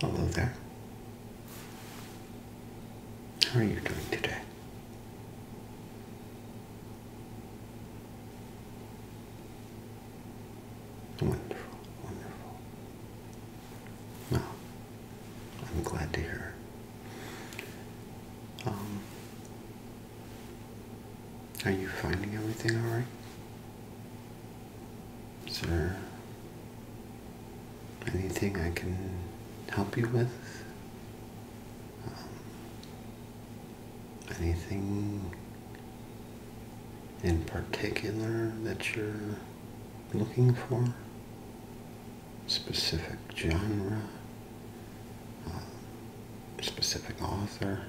Hello there. How are you doing today? Wonderful, wonderful. Well, I'm glad to hear. Um, are you finding everything all right? Sir, anything I can help you with? Um, anything in particular that you're looking for? Specific genre? Um, specific author?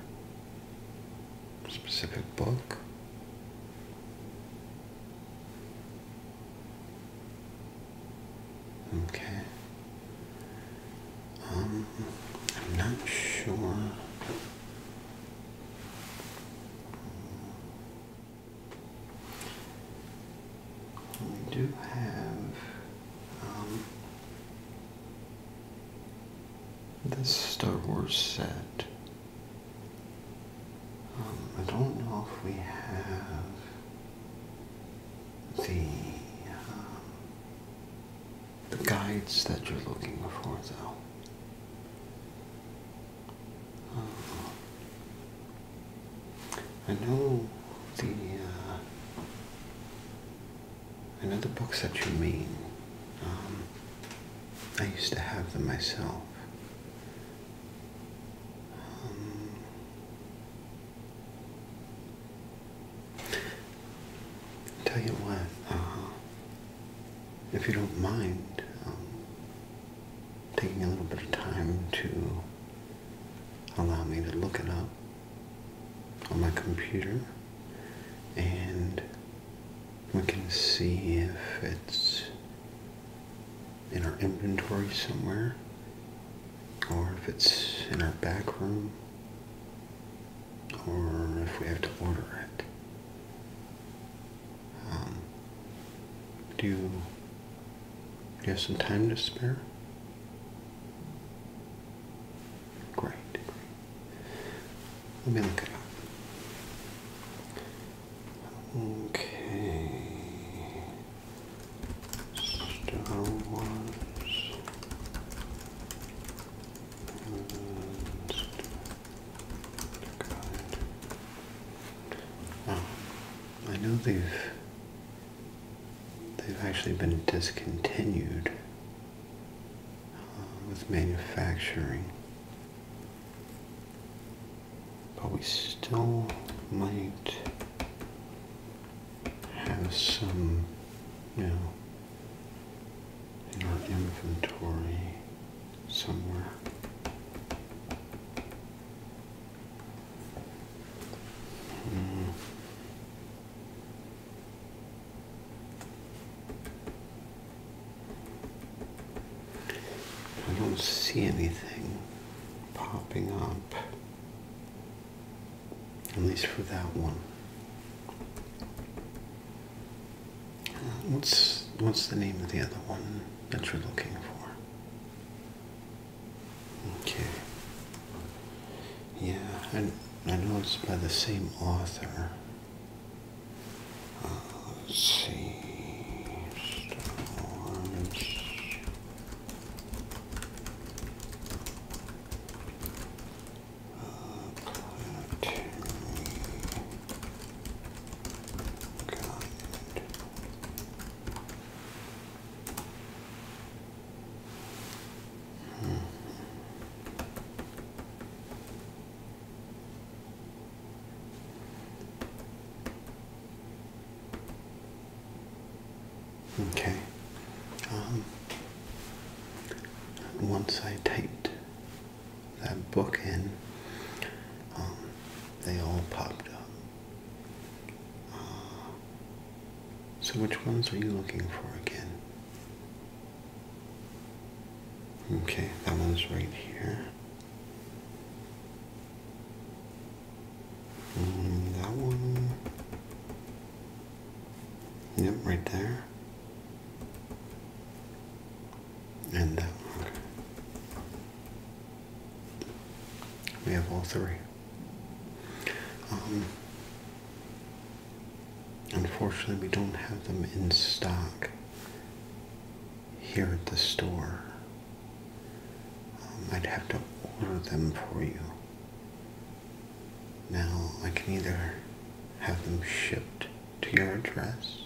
specific book. Okay. Um, I'm not sure. We do have um, the Star Wars set. Um, I don't know if we have the um, the guides that you're looking for, though. Uh, I know the uh, I know the books that you mean. Um, I used to have them myself. Um, tell you what, uh-huh. if you don't mind um, taking a little bit of time to allow me to look it up on my computer and we can see if it's in our inventory somewhere or if it's in our back room or if we have to order it. Um, do you have some time to spare? Great. Let me look it up. Okay. Star Wars. oh, I know they've they've actually been discontinued with manufacturing. But we still might have some, you know, in our inventory somewhere. Hmm. I don't see anything popping up, at least for that one. Uh, what's what's the name of the other one that you're looking for? Okay. Yeah, I, I know it's by the same author let's see. Star Wars. Uh, Okay. Um, once I typed that book in, um, they all popped up. Uh, so which ones are you looking for again? Okay, that one's right here. Mm, that one. Yep, right there. And that one. We have all three. Um, Unfortunately, we don't have them in stock here at the store. Um, I'd have to order them for you. Now, I can either have them shipped to your address,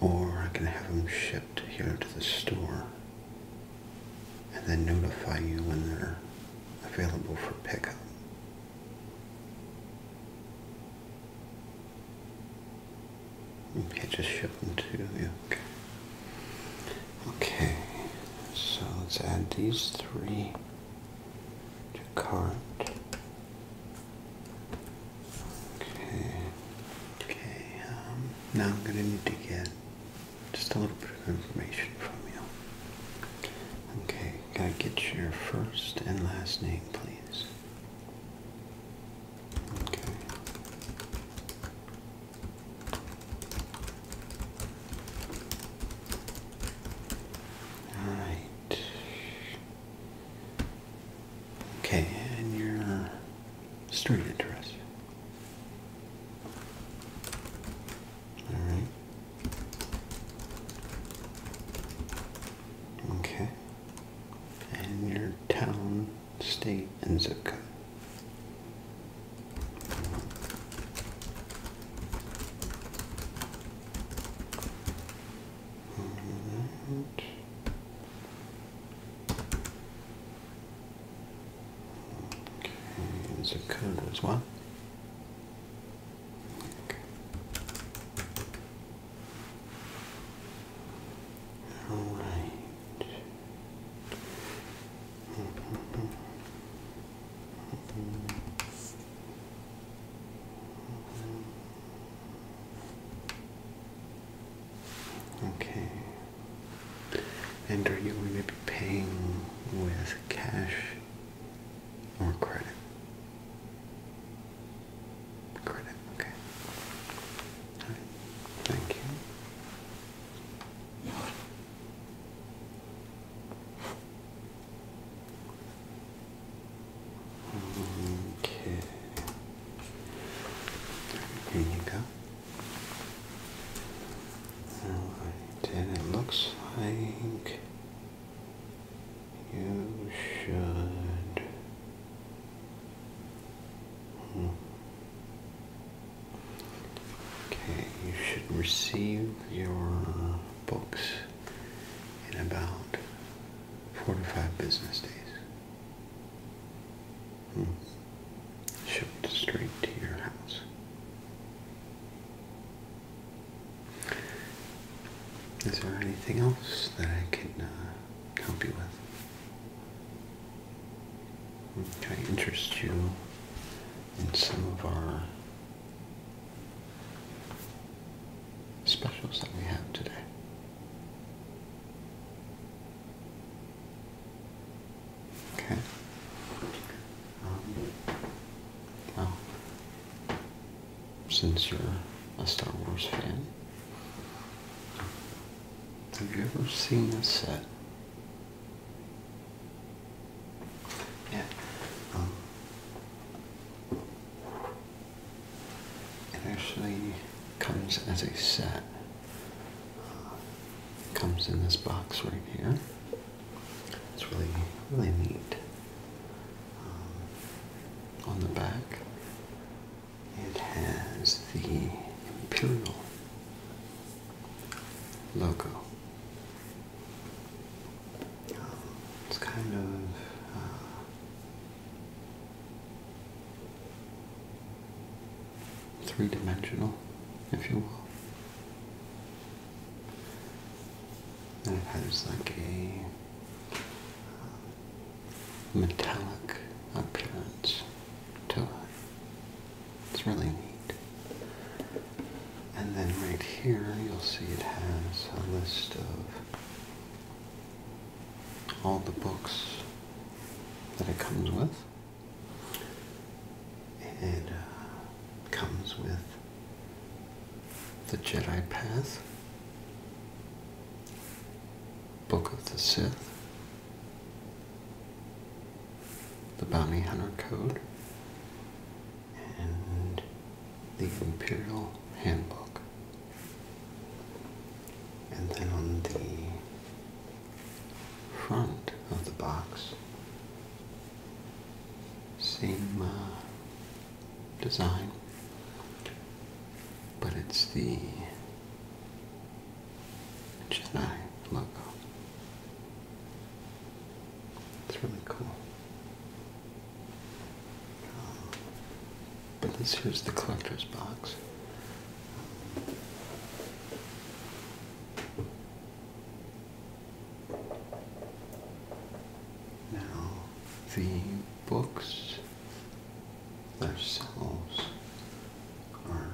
or I can have them shipped here to the store and then notify you when they're available for pickup. Okay, just ship them to you. Okay. so let's add these three to cart. Okay, okay. Um, now I'm gonna need to get just a little bit of information from you. Okay, can I get your first and last name, please? Okay. All right. Okay, and your street address. All right. Okay. And your town, state, and zip code. Right. Okay, zip code as well. All right. Okay. And are you going to be paying with cash or credit. Credit, okay. All right. Thank you. Okay. Here you go. Alright, and it looks like you should hmm. okay you should receive your books in about four to five business days hmm. shipped straight to your house is there anything else that I can uh, help you with? Can I interest you in some of our specials that we have today? Okay. Um, since you're a Star Wars fan, have you ever seen a set? Yeah. Um, it actually comes as a set. Uh, comes in this box right here. It's really, really neat. Um, on the back, it has the Imperial logo. Um, it's kind of. Uh, Three dimensional, if you will. And it has like a uh, metallic appearance to it. It's really neat. And then right here you'll see it has a list of all the books that it comes with. It uh, comes with the Jedi Path, Book of the Sith, the Bounty Hunter Code, and the Imperial Handbook. And then on the front of the box, same uh, design, but it's the Chennai logo. It's really cool. Uh, but this here's the collector's box. Now, the books themselves are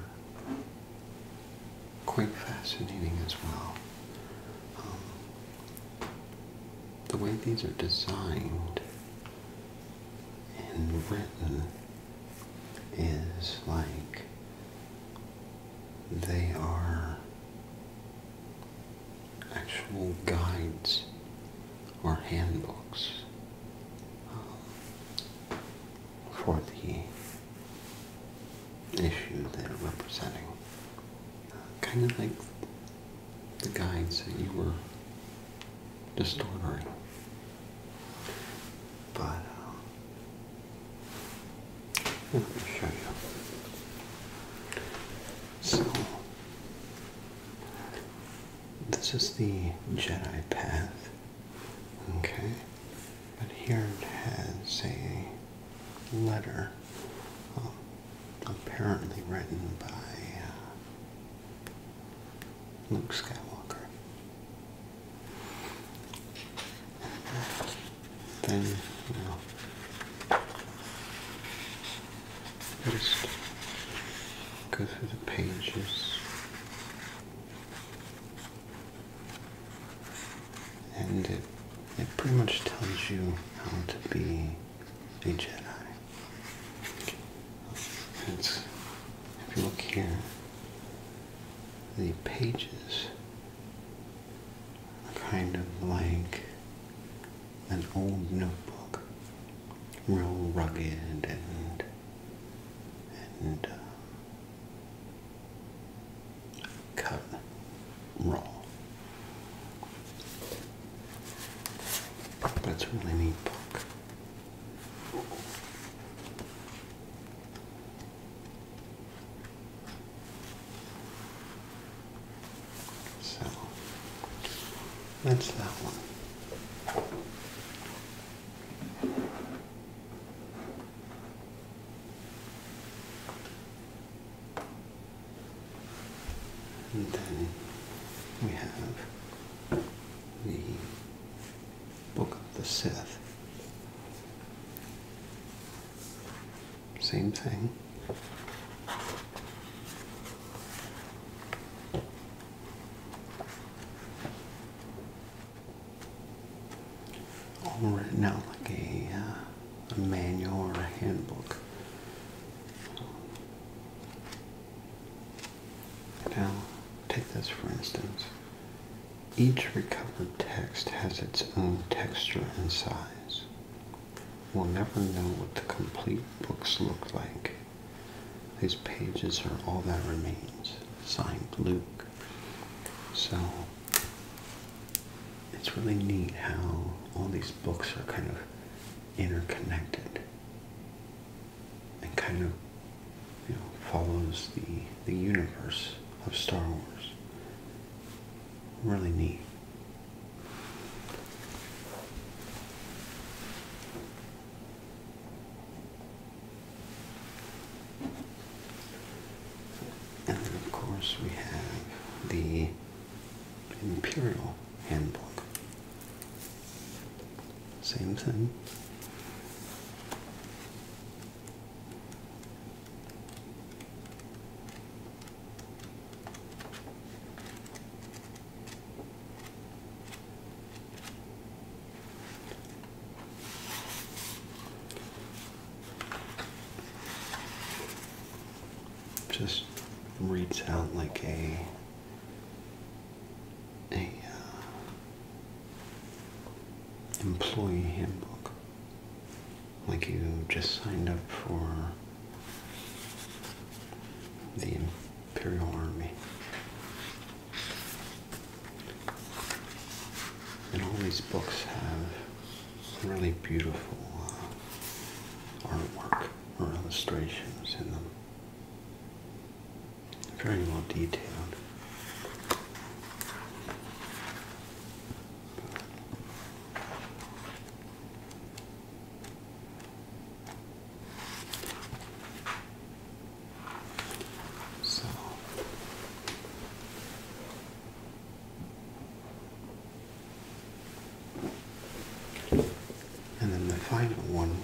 quite fascinating as well. Um, the way these are designed and written is like they are actual guides or handbooks um, for the issue they're representing. kind of like the guides that you were just But um, let me show you. So, this is the Jedi path, okay? But here it has a letter, um, apparently written by uh, Luke Skywalker then I'll just go through the pages and it, it pretty much tells you how to be a Jedi. if you look here, the pages kind of like an old notebook, real rugged and and uh, cut raw. But a really neat book. So that's that one. And then we have the Book of the Sith. Same thing. All written out like a, uh, a manual or a handbook. Now, take this for instance. Each recovered text has its own texture and size. We'll never know what the complete books look like. These pages are all that remains. Signed Luke. So it's really neat how all these books are kind of interconnected and kind of follows the the universe of Star Wars. Really neat. And then of course we have the Imperial Handbook. Same thing. Just reads out like a a uh, employee handbook. Like you just signed up for the Imperial Army. And all these books have really beautiful uh, artwork or illustrations in them. Very well detailed. So and then the final one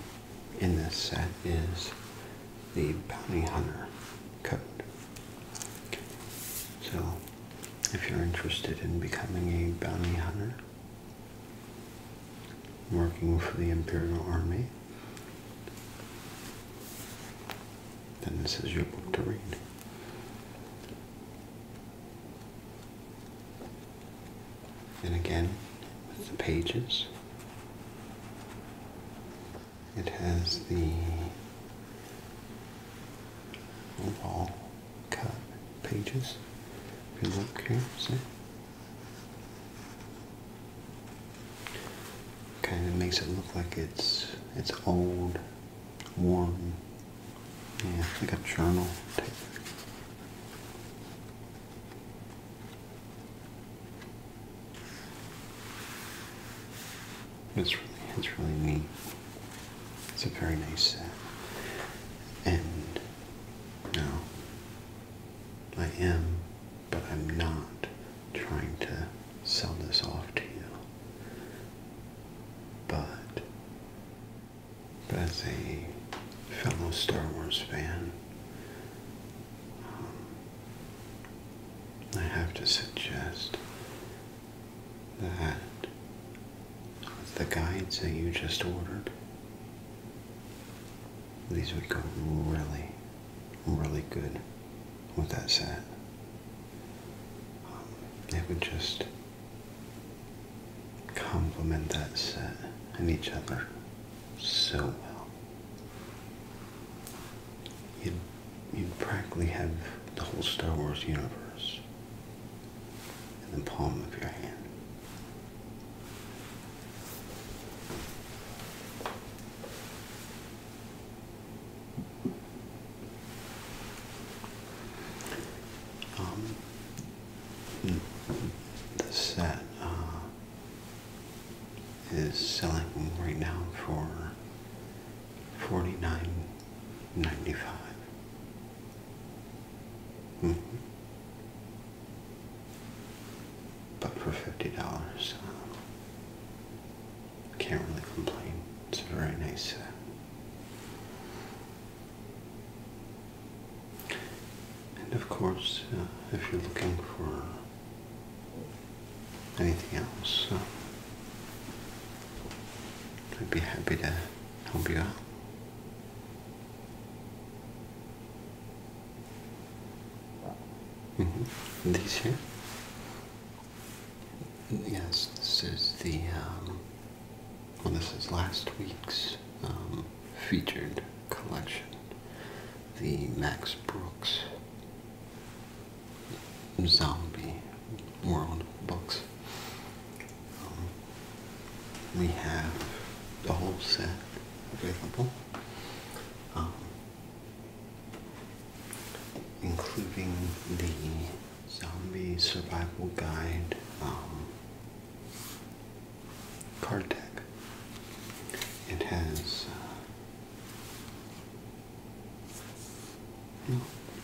in this set is the Bounty Hunter Code. So, if you're interested in becoming a bounty hunter, working for the Imperial Army, then this is your book to read. And again, with the pages, it has the wall cut pages. If you look see? Kind of makes it look like it's it's old, worn. Yeah, like a journal type. It's really, it's really neat. It's a very nice set. And I am, but I'm not trying to sell this off to you. but as a fellow Star Wars fan, I have to suggest that the guides that you just ordered, these would go really, really good with that set. it um, would just complement that set and each other so well you'd, you practically have the whole Star Wars universe in the palm of your hand. Um, the set uh, is selling right now for $49.95. Mm-hmm. But for $50, uh, can't really complain. It's a very nice set. And of course, uh, if you're looking for anything else. I'd be happy to help you out. Mm -hmm. These here? Yes, this is the, um, well, this is last week's um, featured collection, the Max Brooks zombie world books. Um, we have the whole set available, um, including the Zombie Survival Guide um, card deck. It has uh,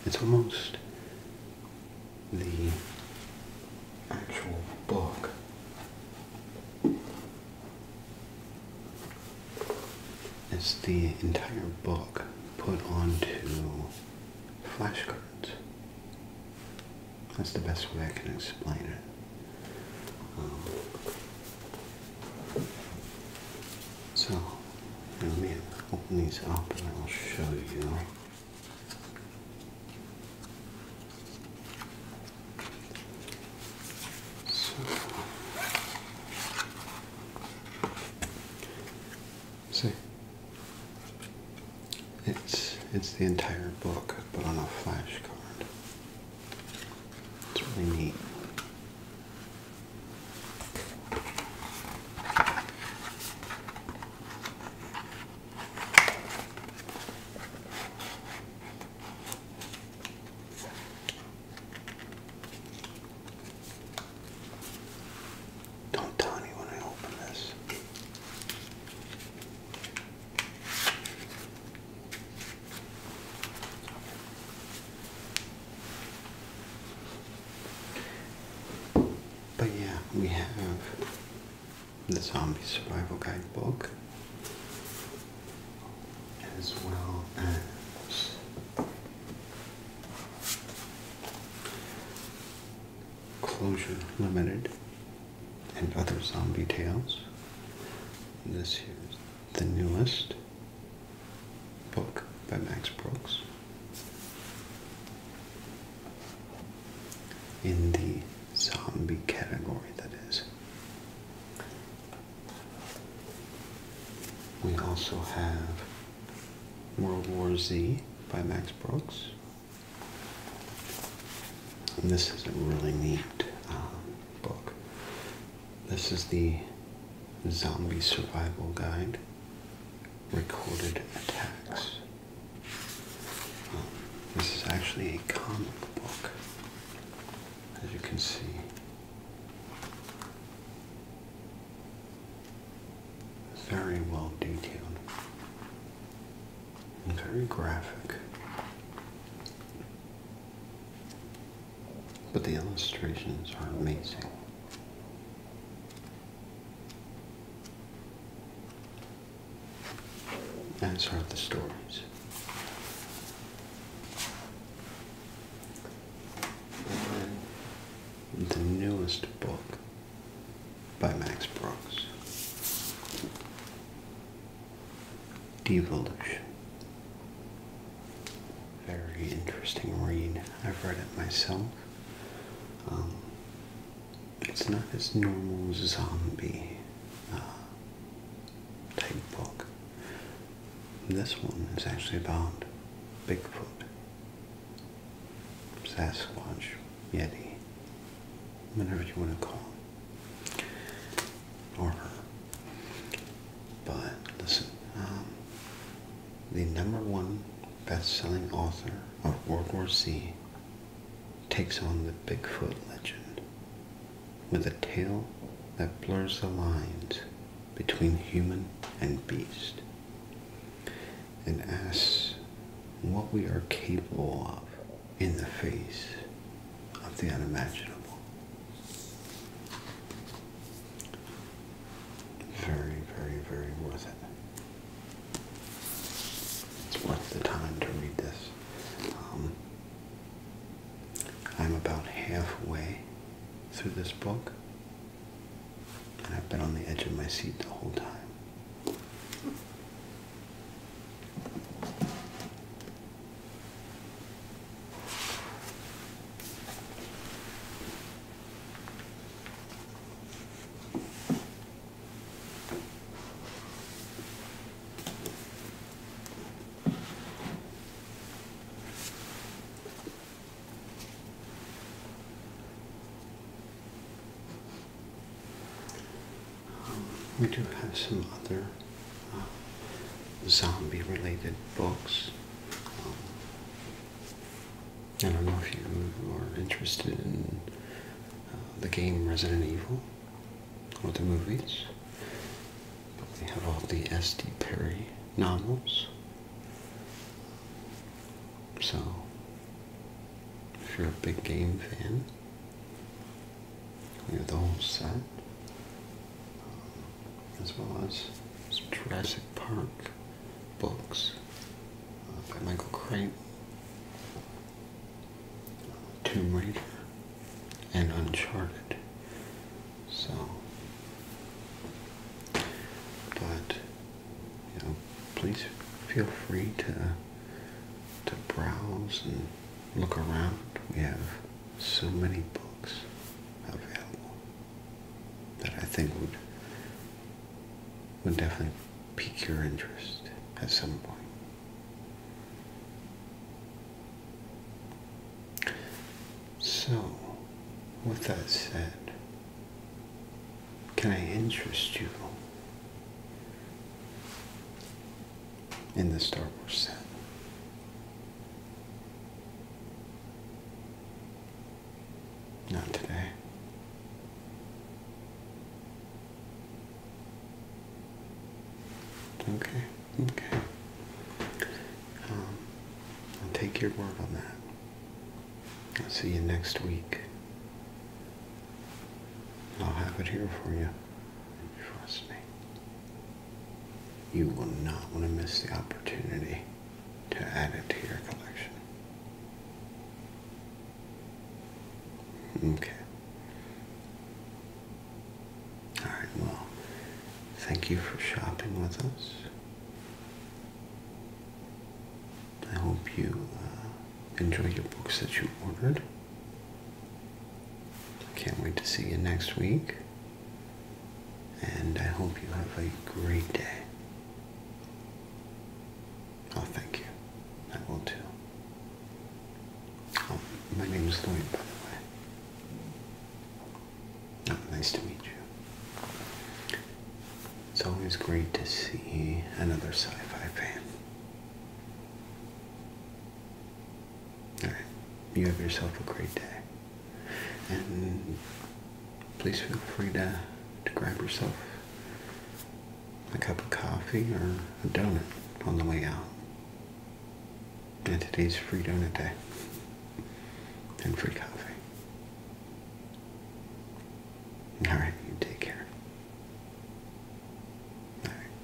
it's almost the actual book. It's the entire book put onto flashcards. That's the best way I can explain it. Um, so, let me open these up and I will show you. So, see, it's it's the entire book, but on a flashcard. It's really neat. Don't tell me when I open this. But yeah, we have the Zombie Survival Guidebook as well as Closure Limited and Other Zombie Tales. This is the newest book by Max Brooks. In the zombie category, that is. We also have World War Z by Max Brooks. this is a really neat um, book. This is the Zombie Survival Guide Recorded Attacks. Um, this is actually a comic book, as you can see. Very well detailed very graphic. But the illustrations are amazing. As are the stories. the newest book by Max Brooks Devolution. Very interesting read. I've read it myself. Um, it's not as normal zombie uh, type book. This one is actually about Bigfoot, Sasquatch, Yeti, whatever you want to call it or her. But listen, um, the number one best-selling author of World War Z takes on the Bigfoot legend with a tale that blurs the lines between human and beast and asks what we are capable of in the face of the unimaginable. Very, very, very worth it. It's worth the time to read this. Um, I'm about halfway through this book, and I've been on the edge of my seat the whole time we do have some other uh, zombie related books. Um, I don't know if you are interested in uh, the game Resident Evil or the movies. We have all the S.D. Perry novels. So, if you're a big game fan, we have the whole set, um, as well as some Jurassic Park books uh, by Michael Crichton, uh, Tomb Raider, and Uncharted. So, but you know, please feel free to to browse and look around. We have so many books available that I think would would definitely pique your interest at some point. So, with that said, can I interest you in the Star Wars set. Not today. Okay, okay. Um, I'll take your word on that. I'll see you next week. I'll have it here for you. Trust me. You will not want to miss the opportunity to add it to your collection. Okay. Alright, well, thank you for shopping with us. I hope you uh, enjoy your books that you ordered. I Can't wait to see you next week. And I hope you have a great day. Oh, thank you. I will too. Oh, my name is Lloyd, by the way. Oh, nice to meet you. It's always great to see another sci-fi fan. Alright. You have yourself a great day. And please feel free to, to grab yourself a cup of coffee or a donut on the way out. And today's free donut day. And free coffee. Alright, you take care. Alright.